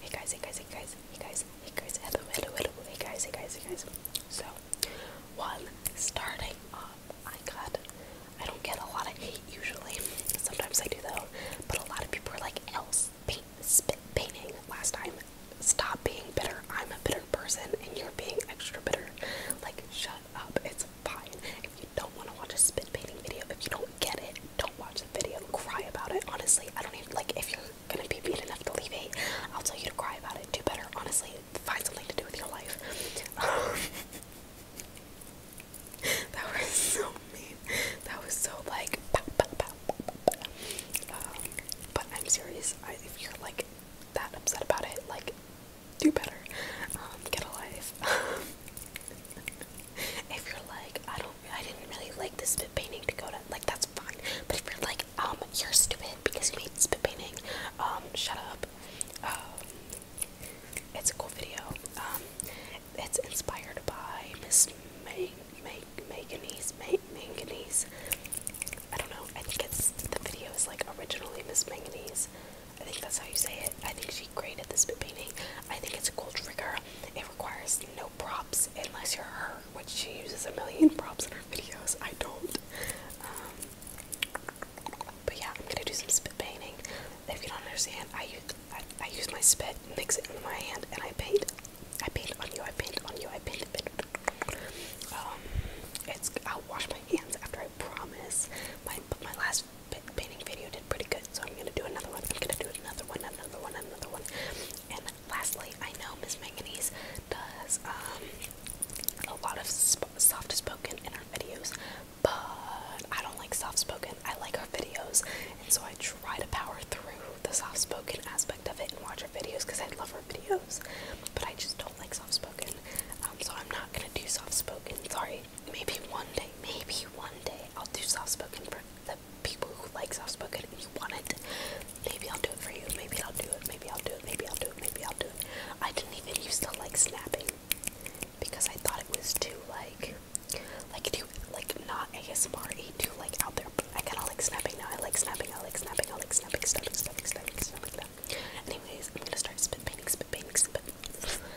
Hey guys, hey guys, hey guys, hey guys, hey guys, hey guys, hey guys, So, one, starting off, I got, I don't get a lot of hate usually, sometimes I do though, but a lot of people are like, else, paint, spit, painting last time, stop being bitter, I'm a bitter person, and you're being extra bitter, like, shut up, it's fine, if you don't want to watch a spit painting video, if you don't get it, don't watch the video. Cry about it. Honestly, I don't even like if you're gonna be mean enough to leave hate, I'll tell you to cry about it. Do better, honestly. Find something to do with your life. that was so mean. That was so like um, but I'm serious. if you're like that upset about it, like do better. Um, get a life. if you're like, I don't, I didn't really like the spit painting Dakota, like that's fine. But if you're like, um, you're stupid because you made spit painting, um, shut up. Um, it's a cool video. Um, it's inspired by Miss May, May, Manganese, May, Manganese. I don't know. I think it's the video is like originally Miss Manganese. I think that's how you say it. I think she created this painting. I think it's a cool trigger. It requires no props unless you're her, which she uses a million props in her videos. I don't. Um, but yeah, I'm gonna do some spit painting. If you don't understand, I use I, use my spit, mix it in my hand, and I paint. I paint on you. I paint on you. I paint. paint. Um, it's I'll wash my hands after. I promise. My my last last painting video did pretty good, so I'm gonna do another one. I'm gonna do another one, another one, another one. And lastly, I know Miss Manganese does um, a lot of soft spoken in her videos, but I don't like soft spoken. I like her videos, and so I try to power through the soft spoken aspect of it and watch her videos because I love her videos. But I just don't like soft spoken, um, so I'm not gonna do soft spoken. Sorry, Maybe one day, maybe one day I'll do soft spoken for the people who like soft spoken and you want it. Maybe I'll do it for you. Maybe I'll do it. Maybe I'll do it. Maybe I'll do it. Maybe I'll do it. I didn't even used to like snapping because I thought it was too like like too like not ASMR too like out there. But I kinda like snapping now. I like snapping. I like snapping. I like snapping. Snapping. Snapping. Snapping. Snapping. snapping, snapping, snapping. Anyways, I'm gonna start spit painting. Spit painting. Spit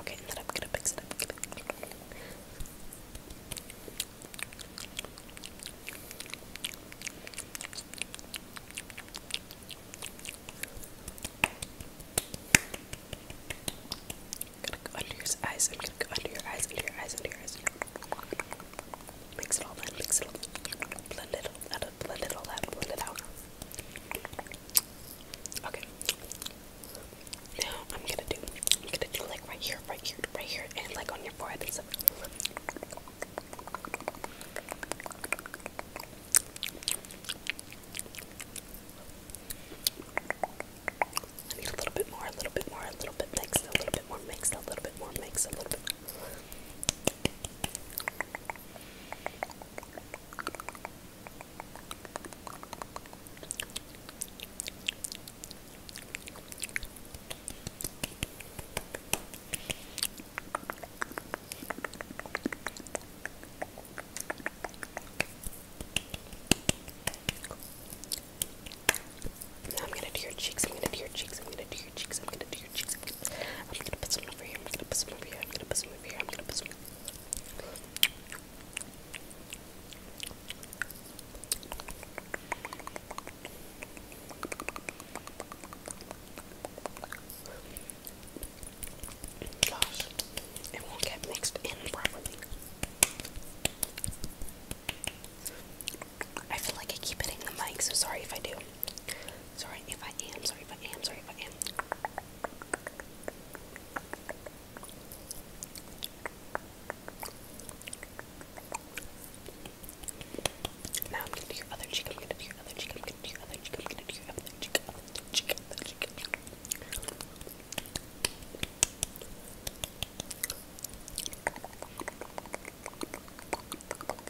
Okay, and then I'm gonna mix it up. I'm gonna go under your eyes. I'm gonna go under your eyes, under your eyes, under your eyes. Mix it all in, mix it all in. Blend it all out, blend it all out, blend it out. Okay. Now I'm gonna do I'm gonna do like right here, right here, right here, and like on your forehead I need a little bit more, a little bit more, a little bit mixed, a little bit more mixed, a little bit more mixed, a little bit. I'm gonna do your cheeks, I'm gonna do your cheeks, I'm gonna do your cheeks, I'm gonna do your cheeks your cheeks. I'm gonna put some over here. I'm gonna put some over here. I'm gonna put some over here. I'm gonna put some. Gosh, it won't get mixed in properly. I feel like I keep hitting the mic, so sorry if I do. Sorry if I am, sorry if I am, sorry if I am. Now I'm gonna do your other cheek, I'm gonna do your other cheek, I'm gonna do your other cheek, I'm gonna do your other cheek, other cheek, other cheek.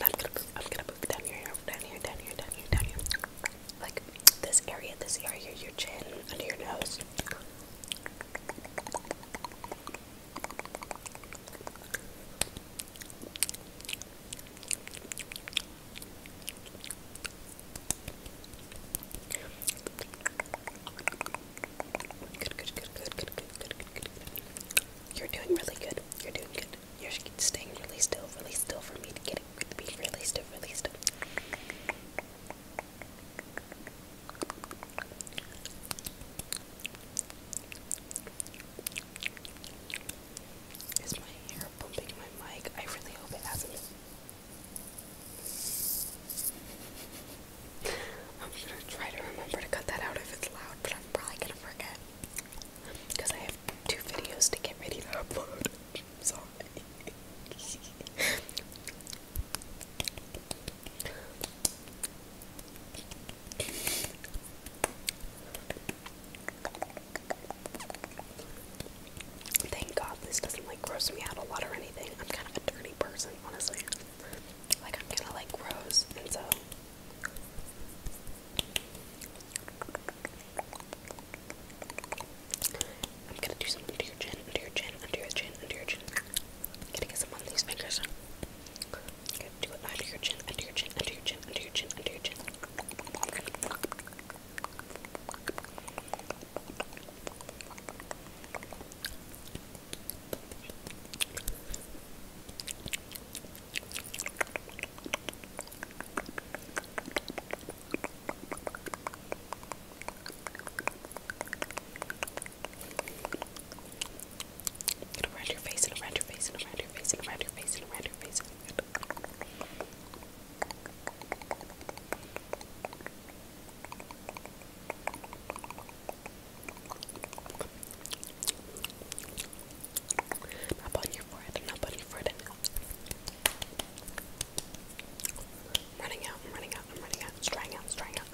I'm gonna, I'm gonna down your hair, down here, down here, down down here. Like this area, this area, your chin, under your nose. Good, good, good, good, good, good, good, good, good. You're doing really good. You're doing good. You're staying really still, really still for me to get it. Be really still, really still. Is my hair bumping my mic? I really hope it hasn't. I'm gonna try to remember to cut that out if it's loud, but I'm probably gonna forget because I have two videos to get ready to upload. Sorry. Thank God this doesn't like gross me out a lot or anything. I'm kind of a dirty person, honestly. Like I'm kind of like gross, and so I'm gonna do some under your chin, under your chin, under your chin, under your chin. I'm gonna get some on these fingers. I'm gonna do it under your chin, under your chin, under your chin, under your chin, under your chin. Get around your face and around your face and around your face and around your face and around your face. And around your face. Not on your forehead, not on your forehead. I'm running out, I'm running out, I'm running out. It's drying out, it's drying out.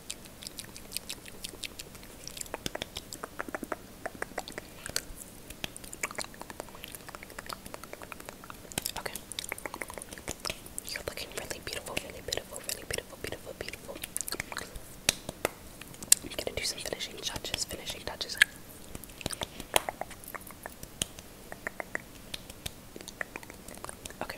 Okay. You're looking really beautiful, really beautiful, really beautiful, beautiful, beautiful. I'm gonna do some finishing touches, finishing touches. Okay.